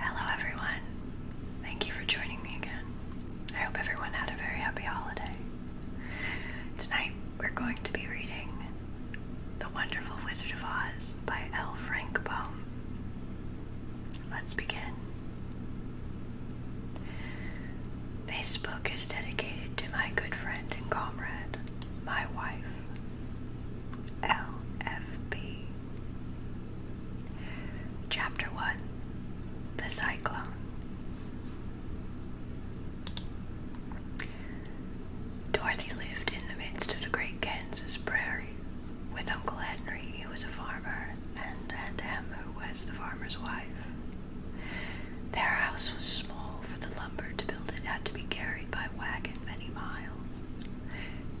Hello, everyone. Thank you for joining me again. I hope everyone had a very happy holiday. Tonight, we're going to be reading The Wonderful Wizard of Oz by L. Frank Baum. Let's begin. This book is dedicated to my good friend and comrade, my wife, LFP. Chapter 1 The Cyclone. Dorothy lived in the midst of the great Kansas prairies. With Uncle Henry, who was a farmer, and Aunt Em, who was the farmer's wife. Their house was small, for the lumber to build it had to be carried by wagon many miles.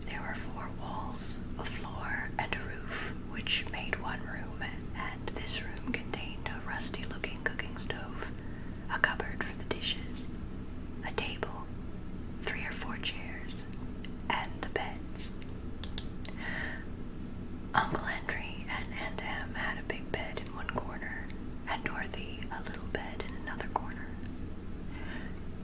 There were four walls, a floor, and a roof, which made one room, and this room contained a rusty looking cooking stove, a cupboard for the dishes, a table, three or four chairs, and the beds. Uncle Henry and Aunt Em had a big bed in one corner, and Dorothy a little bed in another corner.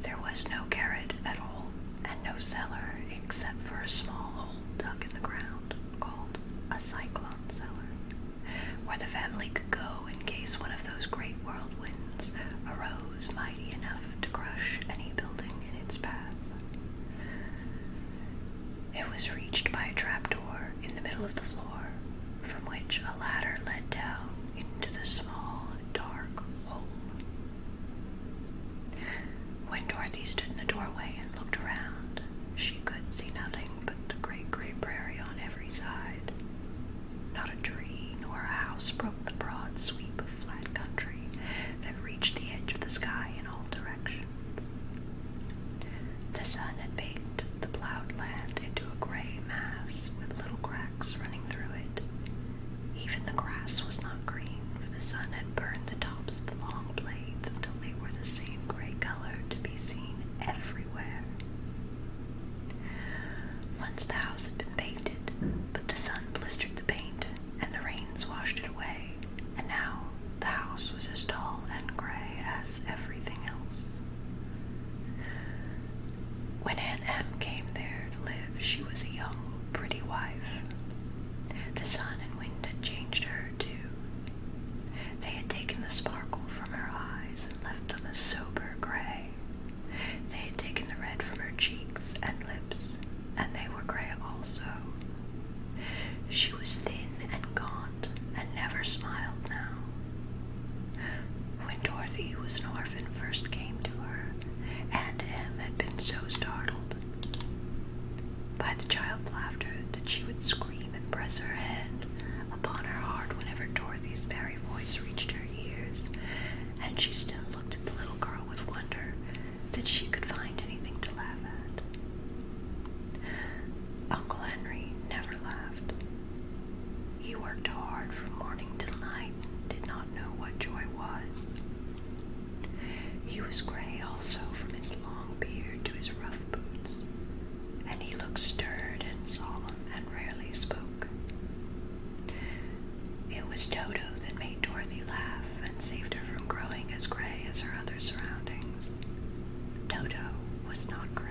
There was no garret at all, and no cellar except for a small hole dug in the ground called a cyclone cellar, where the family could go in case one of those great whirlwinds arose mighty enough to crush any building in its path. It was reached by a trapdoor in the middle of the floor, from which a ladder led down into the small, dark when Dorothy stood in the doorway and looked around, she could see nothing but the great gray prairie on every side. Not a tree nor a house broke the broad sweep of flat country that reached the edge of the sky in all directions. The sun had baked the plowed land into a gray mass with little cracks running through it, even the grass was not green, for the sun had burned the tops of the long blades until they were the same gray color to be seen everywhere. Once the house had been painted, but the sun blistered the paint and the rains washed it away, and now the house was as dull and gray as everything else. When Aunt Em came there to live, she was a young, pretty wife. The sun and wind had changed her, too. They had taken the sparkle from her eyes and left them a sober gray. They had taken the red from her cheeks and lips, and they were gray also. She was thin and gaunt and never smiled now when Dorothy, who was an orphan, first came to her, and M had been so startled by the child's laughter that she would scream and press her hand upon her heart whenever Dorothy's merry voice reached her ears, and she still looked at the little girl with wonder that she could find anything to laugh at. Uncle Henry never laughed. He worked hard from morning till night and did know what joy was. He was gray also from his long beard to his rough boots, and he looked stirred and solemn and rarely spoke. It was Toto that made Dorothy laugh and saved her from growing as gray as her other surroundings. Toto was not gray.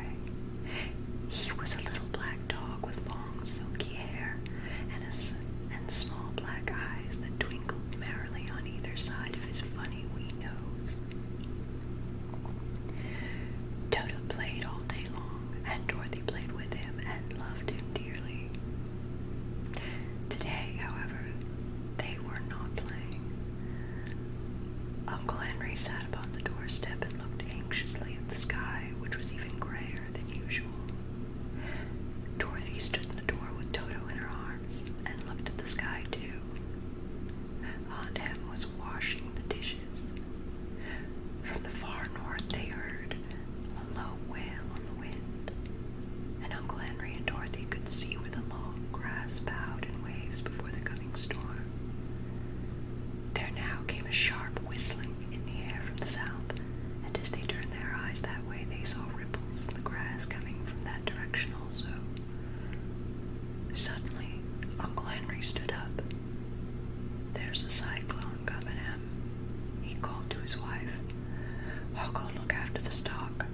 He was a little black dog with long long silky hair and, small black eyes that twinkled merrily on either side of his funny wee nose. Toto played all day long, and Dorothy played with him and loved him dearly. Today, however, they were not playing. Uncle Henry sat upon the doorstep and looked anxiously at the sky, which was even grayer Dorothy stood in the door with Toto in her arms and looked at the sky, too. Aunt Em was washing the dishes. From the far north, they heard a low wail on the wind, and Uncle Henry and Dorothy could see where the long grass bowed in waves before the coming storm. There now came a sharp whistling in the air from the south and as they turned their eyes that way, they saw ripples in the grass coming from that direction also. Suddenly, Uncle Henry stood up. There's a cyclone coming in, he called to his wife. I'll go look after the stock.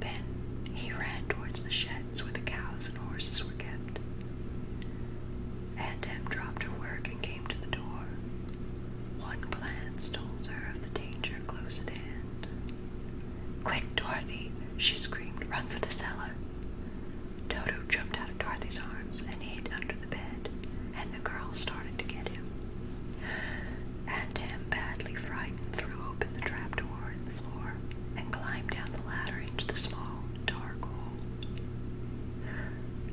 Then he ran towards the sheds where the cows and horses were kept. And dropped to work and came came to the door. One glance told her of the danger close at hand. Quick, Dorothy! she screamed. Run for the cellar! Toto jumped out of Dorothy's arms and hid under the bed, and the girl started to get him. And him, badly frightened, threw open the trap door in the floor and climbed down the ladder into the small, dark hole.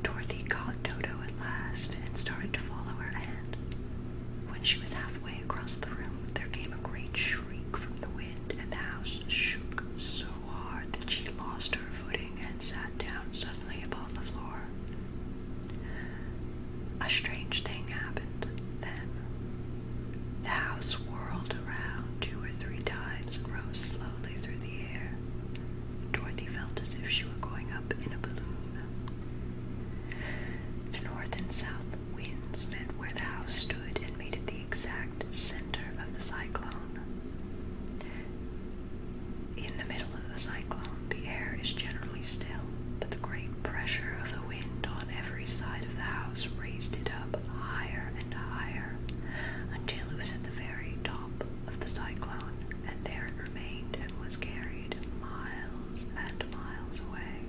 Dorothy caught Dodo at last and started to follow her hand. When she was halfway across the room, there came a great shriek from the wind, and the house shook so hard that she lost her footing and sat down suddenly upon the floor. A strange thing happened then. The house whirled around two or three times rose slowly through the air. Dorothy felt as if she were going up in a balloon. The north and south winds met where the house stood and made it the exact center of the cyclone. In the middle of a cyclone, the air is generally still, but the great pressure of the wind on every side of the house raised it up higher and higher until it was at the very top of the cyclone, and there it remained and was carried miles and miles away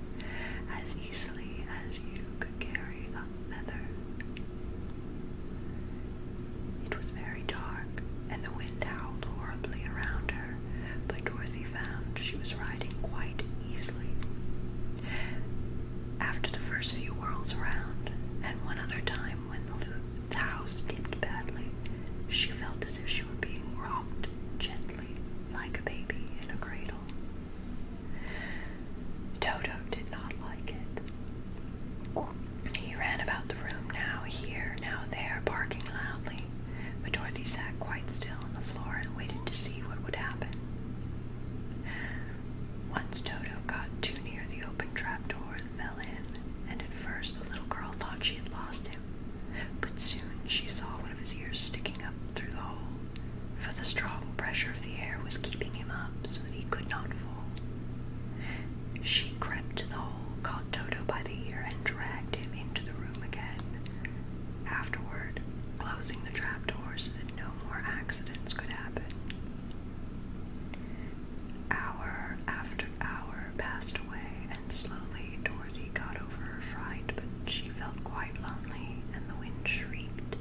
as easily as you could carry a feather. It was very dark, and the wind howled horribly around her, but Dorothy found she was riding quite easily. After the first few whirls around, and one other time when the loop the house skipped badly. She felt as if she were being rocked gently, like a baby in a cradle. Toto did not like it. He ran about the room, now here, now there, barking loudly. But Dorothy sat quite still on the floor and waited to see what would happen. Once Toto got too near the open trap trapdoor, fell in, and at first the little girl thought she had lost him, but soon she saw one of his ears sticking up through the hole, for the strong pressure of the air was keeping him up so that he could not fall. She crept to the hole, caught Toto by the ear, and dragged him into the room again, afterward closing the trapdoor so no more accidents could happen. Hour after hour passed away, and slowly Dorothy got over her fright, but she felt quite lonely, and the wind shrieked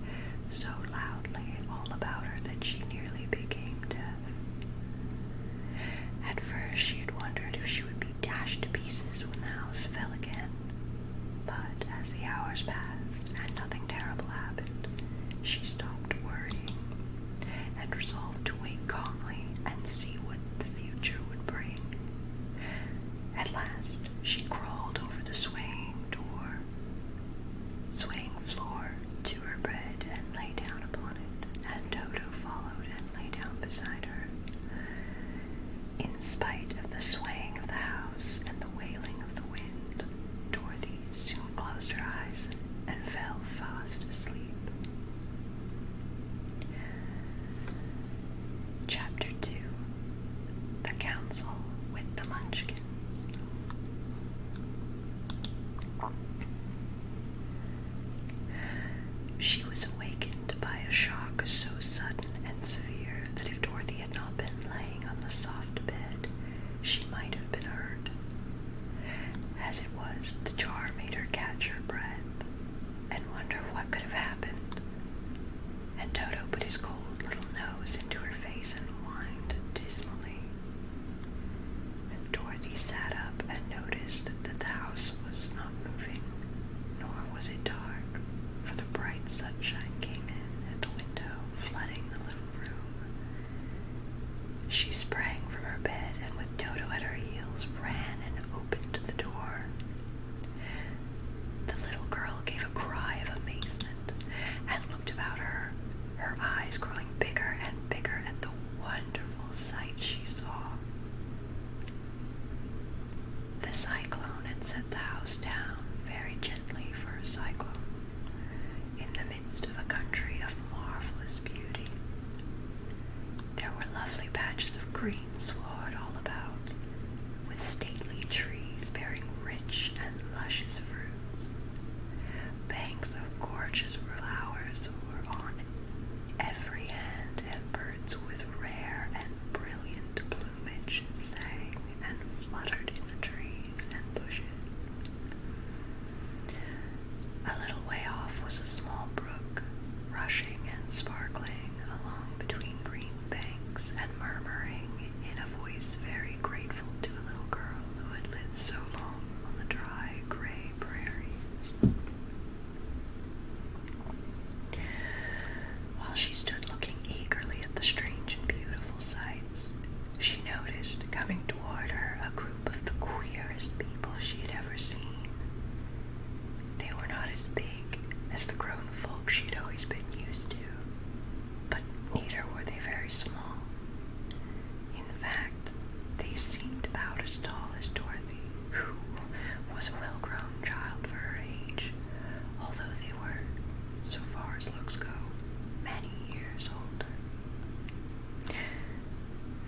so loudly all about her that she nearly became deaf. At first, she had wondered if she would be dashed to pieces when the house fell again, but as the hours passed and nothing terrible happened, she stopped worrying and resolved to wait calmly and see what the future would bring. At last, she crawled over the swaying door, swaying floor to her bed and lay down upon it, and Toto followed and lay down beside her. In spite of the swaying of the house and the wailing of the wind, Dorothy soon closed her eyes and fell fast asleep. Chapter 2 The Council with the Munchkins. She was awakened by a shock so sudden and severe that if Dorothy had not been laying on the soft bed, she might have been hurt. As was the jar made her catch her breath and wonder what could have happened. And Toto put his cold little nose into her face and whined dismally. And Dorothy sat up and noticed that the house was not moving, nor was it dark, for the bright sunshine came in at the window, flooding the little room. She sprang from her bed and, with Dodo at her heels, ran and opened the door. The little girl gave a cry of amazement and looked about her, her eyes growing bigger and bigger at the wonderful sight she saw. The cyclone had set the house down very gently for a cyclone in the midst of a country of marvelous beauty. There were lovely patches of green sward all about, with stately trees bearing rich and luscious fruits. Banks of gorgeous flowers were on every hand, and birds with rare and brilliant plumage sang and fluttered in the trees and bushes. A little way off was a small brook, rushing and sparkling along between green banks and murmuring in a voice very grateful to a little girl who had lived so long on the dry, gray prairies. While she stood looking eagerly at the strange and beautiful sights, she noticed coming toward her a group of the queerest people she had ever seen. They were not as big as the grown folk she'd always been used to, but neither were they very small. In fact, they seemed about as tall as Dorothy, who was a well grown child for her age, although they were, so far as looks go, many years older.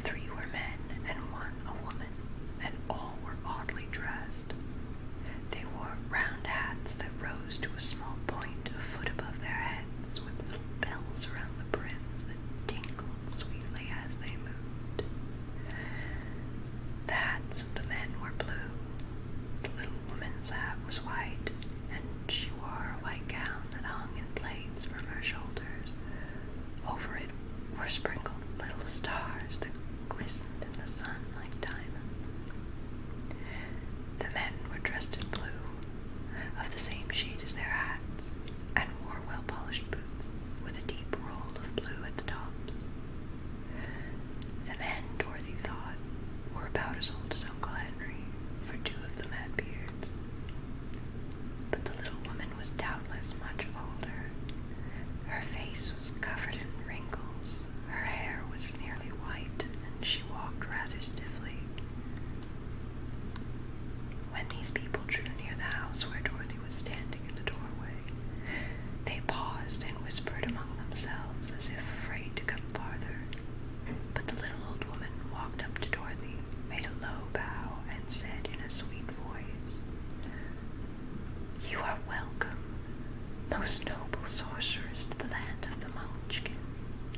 Three were men and one a woman, and all were oddly dressed. They wore round hats that rose to a small point a foot above their heads, with little bells around the brims that tinkled sweetly as they moved. The hats of the men were blue, the little woman's hat was white, and she wore a white gown that hung in plaits from her shoulders, over it were sprinkled little stars that glistened in the sun like diamonds. The men were dressed in blue, of the same shade as their hats, and wore well polished boots with a deep roll of blue at the tops. The men, Dorothy thought, were about as old as Uncle Henry, for two of them had beards but the little woman was doubtless much older. Her face was covered in wrinkles, her hair was nearly white, and she walked rather stiffly. When these people drew near the house where Dorothy was standing in the doorway, they paused and whispered among themselves as if afraid to come farther. But the little old woman walked up to Dorothy, made a low bow, and said in a sweet voice, you are welcome, most noble sorceress, to the land of the Munchkins.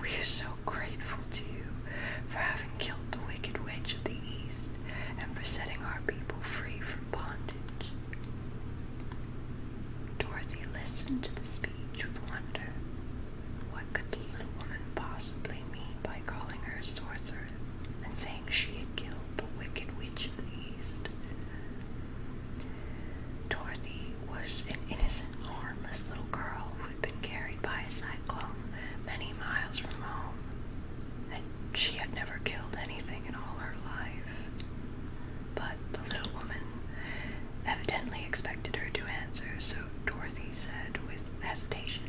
We are so grateful to you for having killed the wicked witch of the East and for setting our people free from bondage. Dorothy listened to the speech with wonder. What could the little woman possibly mean by calling her a sorceress? and saying she had killed the wicked witch of the east. Dorothy was an innocent, harmless little girl who had been carried by a cyclone many miles from home, and she had never killed anything in all her life. But the little woman evidently expected her to answer, so Dorothy said with hesitation.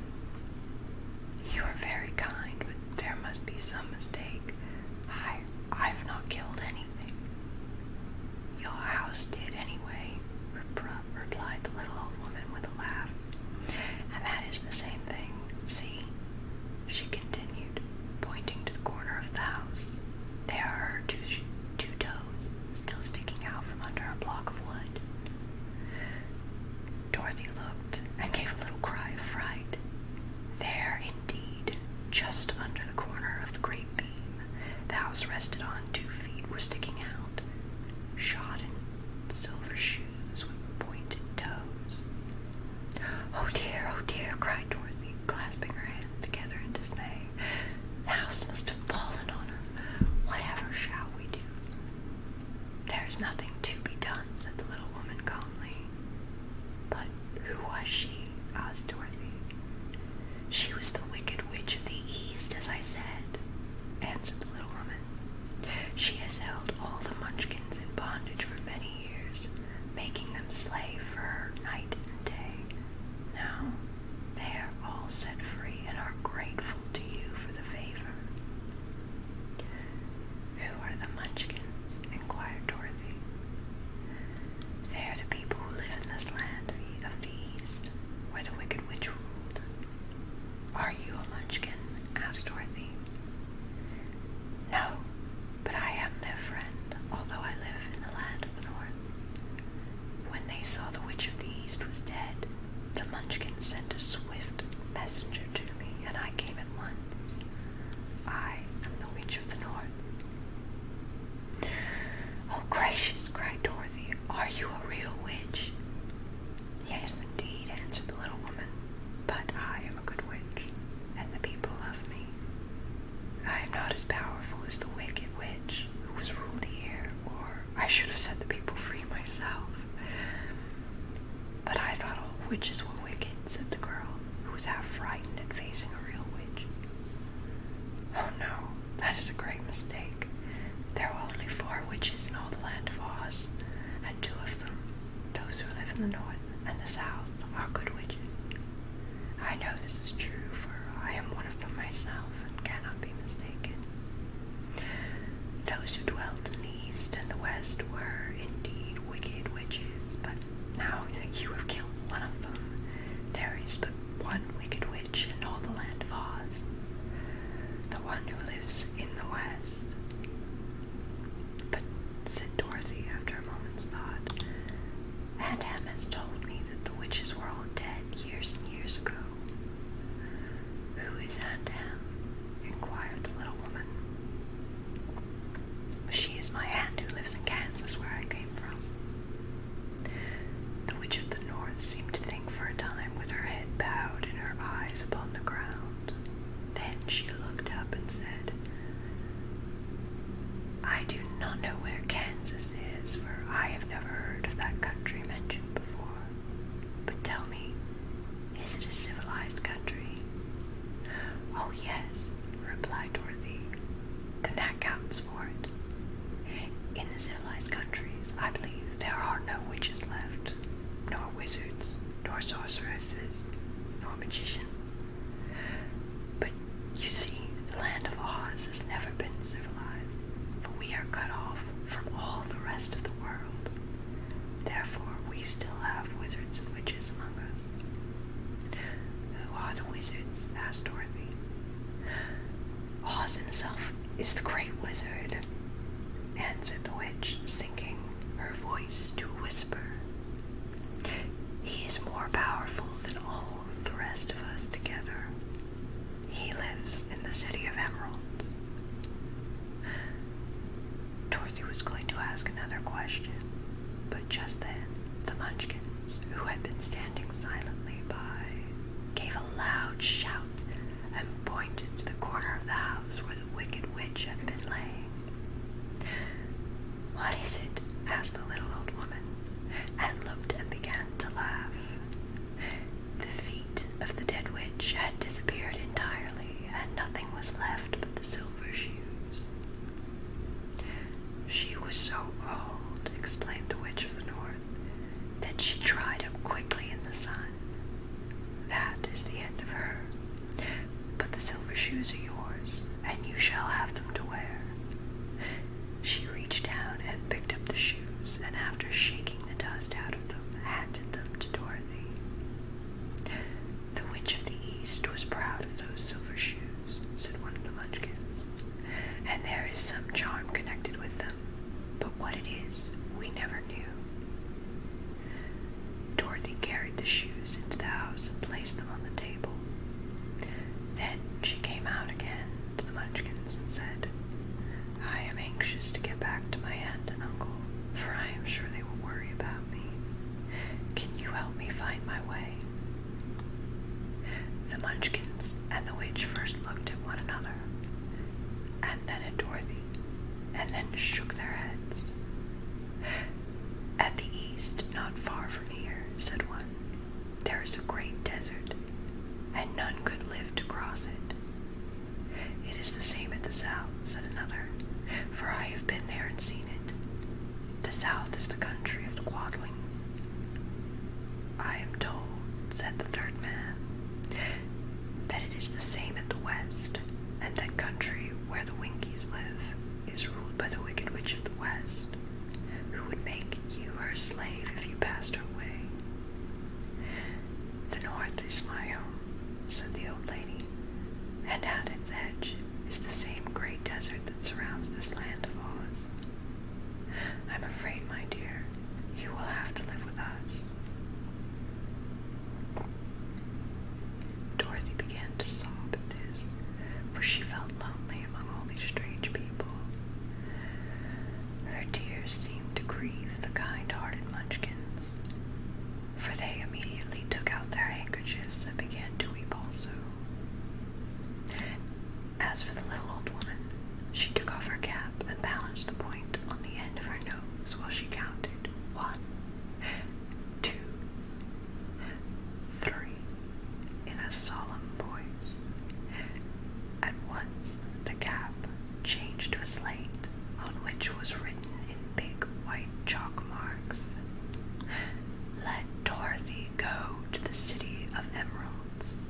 You are very kind, but there must be some mistake. I I have not killed anything. Your house did anyway, replied the little old woman with a laugh. And that is the same thing. See? She continued, pointing to the corner of the house. There are her two, two toes, still sticking out from under a block of wood. Dorothy looked and gave a little cry of fright. There, indeed, just under the corner of the great beam, the house rested on two feet were sticking out, shod in silver shoes with pointed toes. Oh dear, oh dear, cried Dorothy, clasping her hands together in dismay. The house must have fallen on her. Whatever shall we do? There is nothing to be done, said the little woman calmly. But who was she? asked Dorothy. She was the wicked witch of the east, as I said, answered the little woman. She has held all the munchkins in bondage for many years, making them slave for her night and day. Now they are all set free and are grateful to you for the favor. Who are the Munchkins? inquired Dorothy. They are the people who live in this land of the East, where the Wicked Witch ruled. Are you a Munchkin? asked Dorothy. No, but I am their friend, although I live in the land of the North. When they saw the Witch of the East was dead, the Munchkins sent a swift messenger to me, and I came once. I am the Witch of the North. Oh, gracious, cried Dorothy, are you a real witch? Yes, indeed, answered the little woman, but I am a good witch, and the people love me. I am not as powerful as the wicked witch who was ruled here, or I should have set the people free myself. But I thought all witches were wicked, said the girl, who was half frightened at facing a real witch. Oh no, that is a great mistake. There are only four witches in all the land of Oz, and two of them, those who live in the north and the south, are good witches. I know this is true, for I am one of them myself and cannot be mistaken. Those who dwelt in the east and the west were indeed wicked witches, but now that you have killed one of them, there is but one wicked witch in all the land of Oz, the one who lives in the west. But, said Dorothy after a moment's thought, Aunt Em has told me that the witches were all dead years and years ago. Who is Aunt Em? inquired the little woman. She is my aunt who lives in Kansas, where I came from. The Witch of the North seemed to think for a time with her head bowed and her eyes upon the ground. Then she looked up and said, I do not know where Kansas is, for I have never heard of that country mentioned before. But tell me, is it a civilized country? Oh, yes, replied Dorothy. Then that counts for it. In the civilized countries, I believe there are no witches left, nor wizards, nor sorceresses, nor magicians. But you see, the land of Oz has never been civilized, for we are cut off from all the rest of the world. Therefore, we still have wizards and witches among us. Who are the wizards? asked Dorothy. Oz himself is the great wizard, answered the witch, sinking her voice to a whisper. He is more powerful than all the rest of us together. He lives in the City of Emeralds. Dorothy was going to ask another question, but just then the Munchkins, who had been standing silently by, gave a loud shout and pointed to the corner of the house where the Wicked Witch had been lying. What is it? asked the little old woman, and looked and began to laugh. The feet of the dead witch had disappeared entirely, and nothing was left but the silver shoes. She was so old, explained the Witch of the North, that she dried up quickly in the sun. That is the end of her. But the silver shoes are yours, and you shall have them to wear. She reached down and picked up the shoes, and after shaking the dust out of them, handed them to Dorothy. The Witch of the East was proud of those silver shoes, said one of the Munchkins, and there is some charm connected with them, but what it is, we never knew. Dorothy carried the shoes into the house and placed them on the table. Then she came out again to the Munchkins and said, I am anxious to get back to my aunt and uncle, for I am sure they will worry about me. Can you help me find my way? The Munchkins and the witch first looked at one another, and then at Dorothy, and then shook their heads. At the east, not far from here, said one, there is a great desert, and none could live to cross it. It is the same at the south, said another for I have been there and seen it. The south is the country of the Quadlings. I am told, said the third man, that it is the same at the west, and that country where the Winkies live is ruled by the Wicked Witch of the West, who would make you her slave if you passed her way. The north is my home, said the old lady, and at its edge Ridge is the same great desert that surrounds this land of Oz. I'm afraid, my dear, you will have to live with us. Dorothy began to sob at this, for she felt lonely among all these strange people. Her tears seemed to grieve the kind hearted Munchkins for they immediately took out their handkerchiefs and began to weep also. As for the little old woman, she took off her cap and balanced the point on the end of her nose while she counted one, two, three in a solemn voice. At once the cap changed to a slate on which was written in big white chalk marks. Let Dorothy go to the city of emeralds.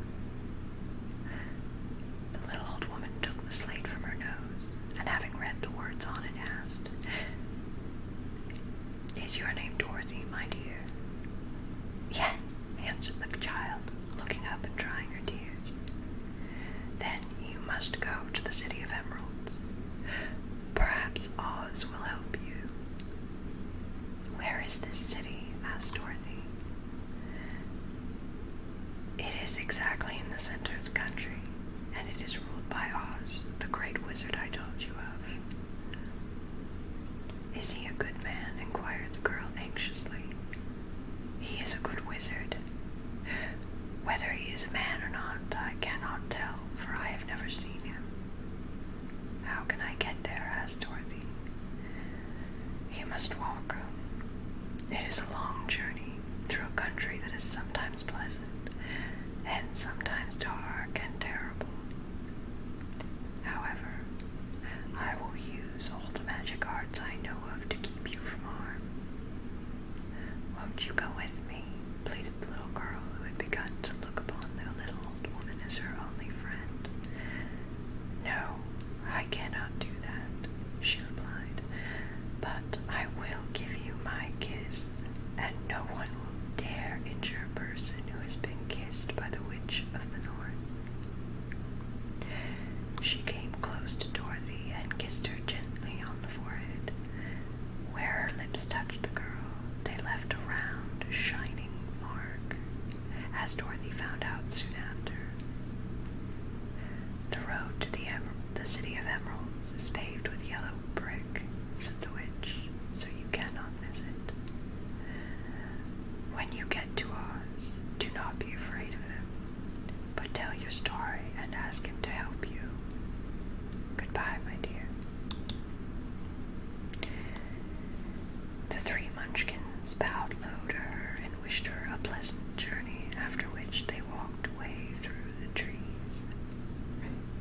The little old woman took the slate from her nose, and having read the words on it, asked, Is your name Dorothy, my dear? Yes, answered the child, looking up and drying her tears. Then you must go to the city of emeralds. Perhaps Oz will help you. Where is this city? asked Dorothy. It is exactly in the center of the country, and it is ruled by Oz, the great wizard I told you of. Is he a good man? inquired the girl anxiously. He is a good wizard. Whether he is a man or not, I cannot tell for I have never seen him. How can I get there? asked Dorothy. You must walk. It is a long journey through a country that is sometimes pleasant and sometimes dark and terrible. However, I will use all the magic arts I know of to keep you from harm. Won't you go with me? pleaded the little girl who had begun to look upon the little old woman as her only friend. No, I cannot do that, she replied, but I will give you my kiss, and no one will dare injure a person who has been kissed by the witch of the north. She came close to Dorothy and kissed her gently on the forehead. Where her lips touched the girl, they left a round, shining mark, as Dorothy found out soon after. The road to the, City of Emeralds is paved with yellow brick, said the witch, so you cannot miss it. When you get to Oz, do not be afraid of him, but tell your story and ask him to help you. Goodbye, my dear. The three munchkins bowed low to her and wished her a pleasant journey, after which they walked away through the trees.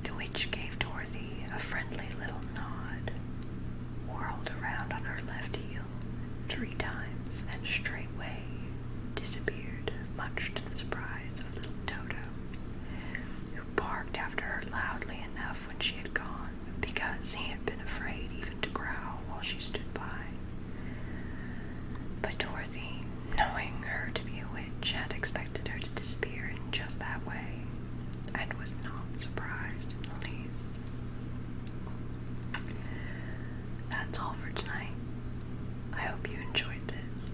The witch gave Dorothy a friendly little nod, whirled around on her left heel three times, and straightway disappeared, much to the surprise of little Toto, barked after her loudly enough when she had gone, because he had been afraid even to growl while she stood by. But Dorothy, knowing her to be a witch, had expected her to disappear in just that way, and was not surprised in the least. That's all for tonight. I hope you enjoyed this.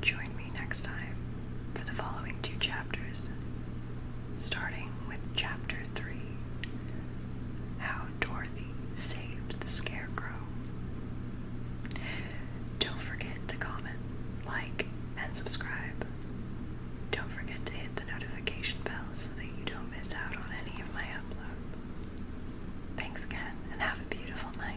Join me next time for the following two chapters, starting with Chapter 3 How Dorothy Saved the Scarecrow. Don't forget to comment, like, and subscribe. Don't forget to hit the notification bell so that you don't miss out on any of my uploads. Thanks again and have a beautiful night.